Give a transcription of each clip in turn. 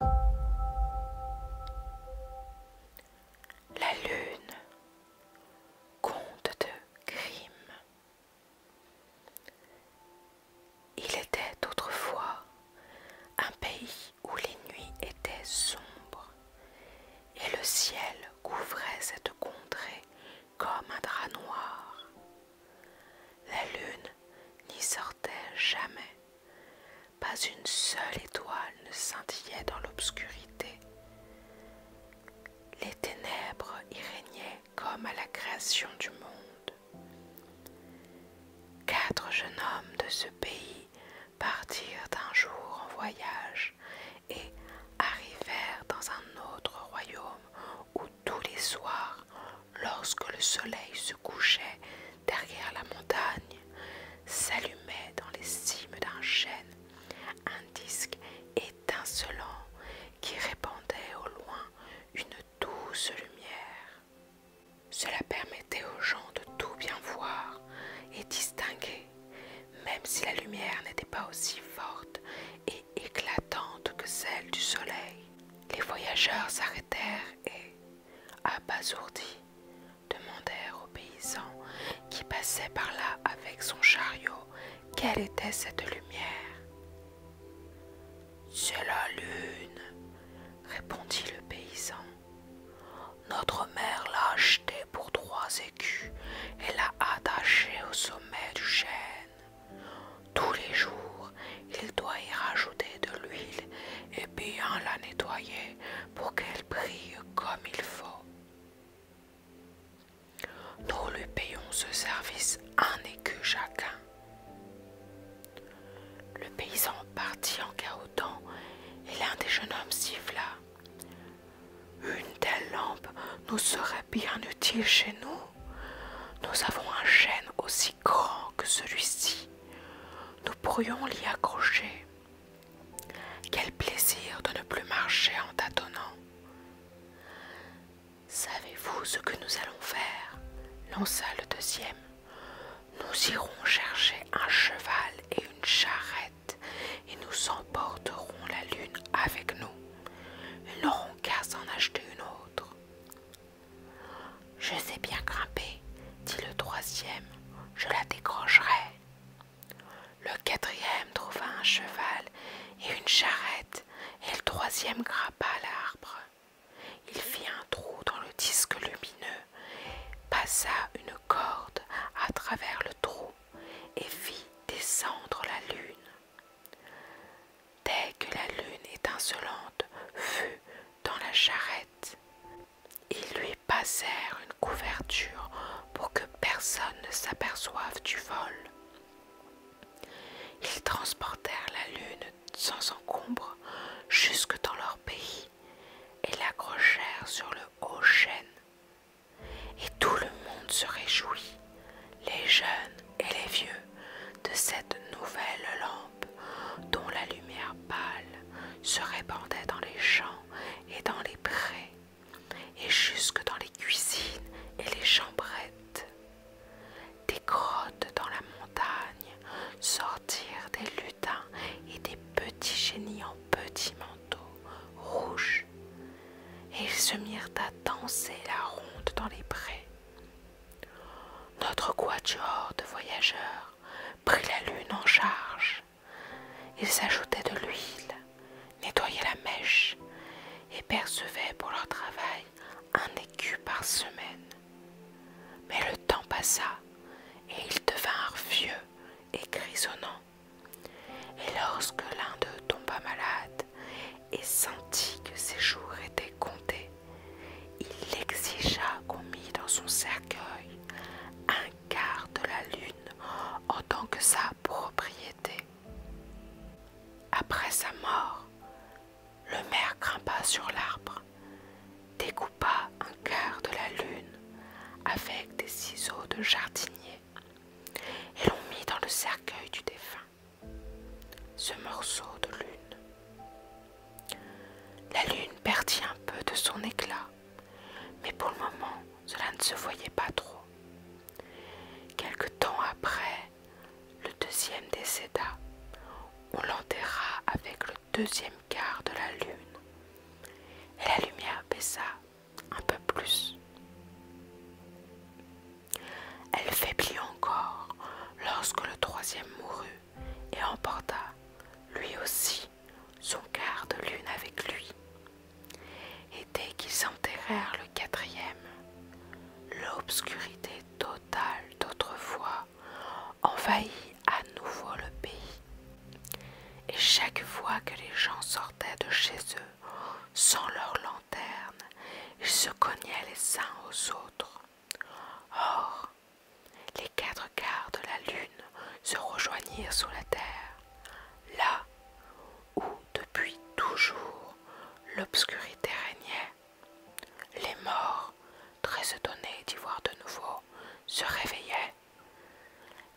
La lune, conte de crimes. Il était autrefois un pays où les nuits étaient sombres et le ciel couvrait cette contrée comme un drap noir. La lune n'y sortait jamais. Pas une seule étoile ne scintillait dans l'obscurité. Les ténèbres y régnaient comme à la création du monde. Quatre jeunes hommes de ce pays partirent un jour en voyage et arrivèrent dans un autre royaume où tous les soirs lorsque le soleil se couchait derrière la montagne, s'allumait dans les cimes d'un chêne un disque étincelant qui répandait au loin une douce lumière. Cela permettait aux gens de tout bien voir et distinguer, même si la lumière n'était pas aussi forte et éclatante que celle du soleil. Les voyageurs s'arrêtèrent et, Abasourdis, demandèrent aux paysans qui passait par là avec son chariot quelle était cette lumière. C'est la lune, répondit le paysan. Notre mère l'a achetée pour trois écus et l'a attachée au sommet du chêne. Tous les jours, il doit y rajouter de l'huile et bien la nettoyer pour qu'elle brille comme il faut. Nous lui payons ce service un écu chacun. Le paysan partit en cahotant et l'un des jeunes hommes siffla. Une telle lampe nous serait bien utile chez nous. Nous avons un chêne aussi grand que celui-ci, nous pourrions l'y accrocher. Quel plaisir de ne plus marcher en tâtonnant. Savez-vous ce que nous allons faire lança le deuxième. Nous irons chercher un cheval et une charrette et nous emporterons la lune avec nous. Ils n'auront qu'à s'en acheter une autre. Je sais bien grimper, dit le troisième, je la décrocherai. Le quatrième trouva un cheval et une charrette, et le troisième grimpa l'arbre. Il fit un trou dans le disque lumineux, passa une corde à travers le trou et fit descendre la lune dès que la lune étincelante fut dans la charrette. Ils lui passèrent une couverture pour que personne ne s'aperçoive du vol. Ils transportèrent la lune sans encombre jusque dans leur pays et l'accrochèrent sur le haut chêne. Et tout le monde se réjouit, les jeunes et les vieux de cette nouvelle lampe dont la lumière pâle se répandait dans les champs et dans les prés, et jusque dans les cuisines et les chambrettes. Des grottes dans la montagne sortirent des lutins et des petits génies en petits manteaux rouges, et ils se mirent à danser la ronde dans les prés. Notre quatuor de voyageurs prit la lune en charge. Ils ajoutaient de l'huile, nettoyaient la mèche et percevaient pour leur travail un écu par semaine. Mais le temps passa et ils devinrent vieux et grisonnants. Et lorsque l'un d'eux tomba malade, et sentit que ses jours étaient comptés. Il exigea qu'on mit dans son cercueil un quart de la lune en tant que sa propriété. Après sa mort, le maire grimpa sur l'arbre, découpa un quart de la lune avec des ciseaux de jardinier et l'on mit dans le cercueil du défunt ce morceau de lune. La lune perdit un peu de son éclat, mais pour le moment cela ne se voyait pas trop. Quelque temps après, le deuxième décéda. On l'enterra avec le deuxième quart de la lune, et la lumière baissa un peu plus. Elle faiblit encore lorsque le troisième mourut et emporta, lui aussi, son quart de lune avec lui. Et dès qu'ils enterrèrent le quatrième, l'obscurité totale d'autrefois envahit à nouveau le pays. Et chaque fois que les gens sortaient de chez eux sans leur lanterne, ils se cognaient les uns aux autres Or, les quatre quarts de la lune se rejoignirent sur la terre, là où, depuis toujours, l'obscurité régnait. Les morts, très étonnés d'y voir de nouveau, se réveillaient.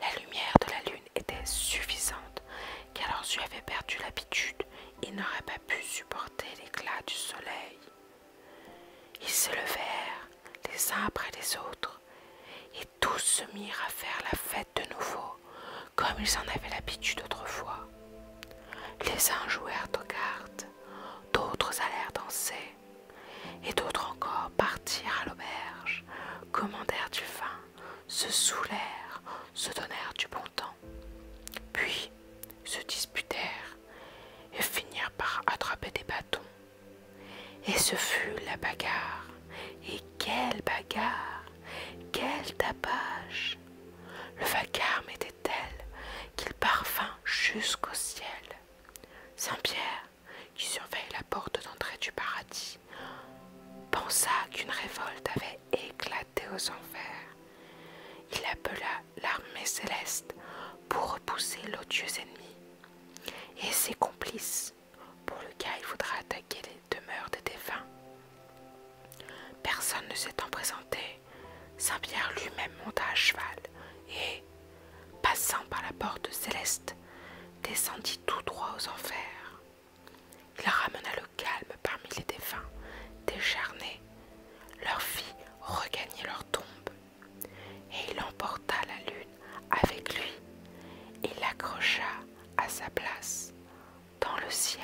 La lumière de la lune était suffisante, car leurs yeux avaient perdu l'habitude ils n'auraient pas pu supporter l'éclat du soleil. Ils se levèrent les uns après les autres, et tous se mirent à faire la fête de nouveau, comme ils en avaient l'habitude autrefois. Les uns jouèrent aux cartes, d'autres allèrent danser, et d'autres encore partirent à l'auberge, commandèrent du vin, se saoulèrent, se donnèrent du bon puis se disputèrent et finirent par attraper des bâtons. Et ce fut la bagarre. Et quelle bagarre Quel tapage Le vacarme était tel qu'il parvint jusqu'au ciel. Saint Pierre, qui surveille la porte d'entrée du paradis, pensa qu'une révolte avait Éclaté aux enfers. Il appela l'armée céleste pour repousser l'odieux ennemi et ses complices, pour le cas, il voudra attaquer les demeures des défunts. Personne ne s'étant présenté, Saint Pierre lui-même monta à cheval et, passant par la porte céleste, descendit tout droit aux enfers. Il ramena le calme parmi les défunts, décharnés. Leur fit regagner leur tombe. Et il emporta la lune avec lui et l'accrocha à sa place dans le ciel.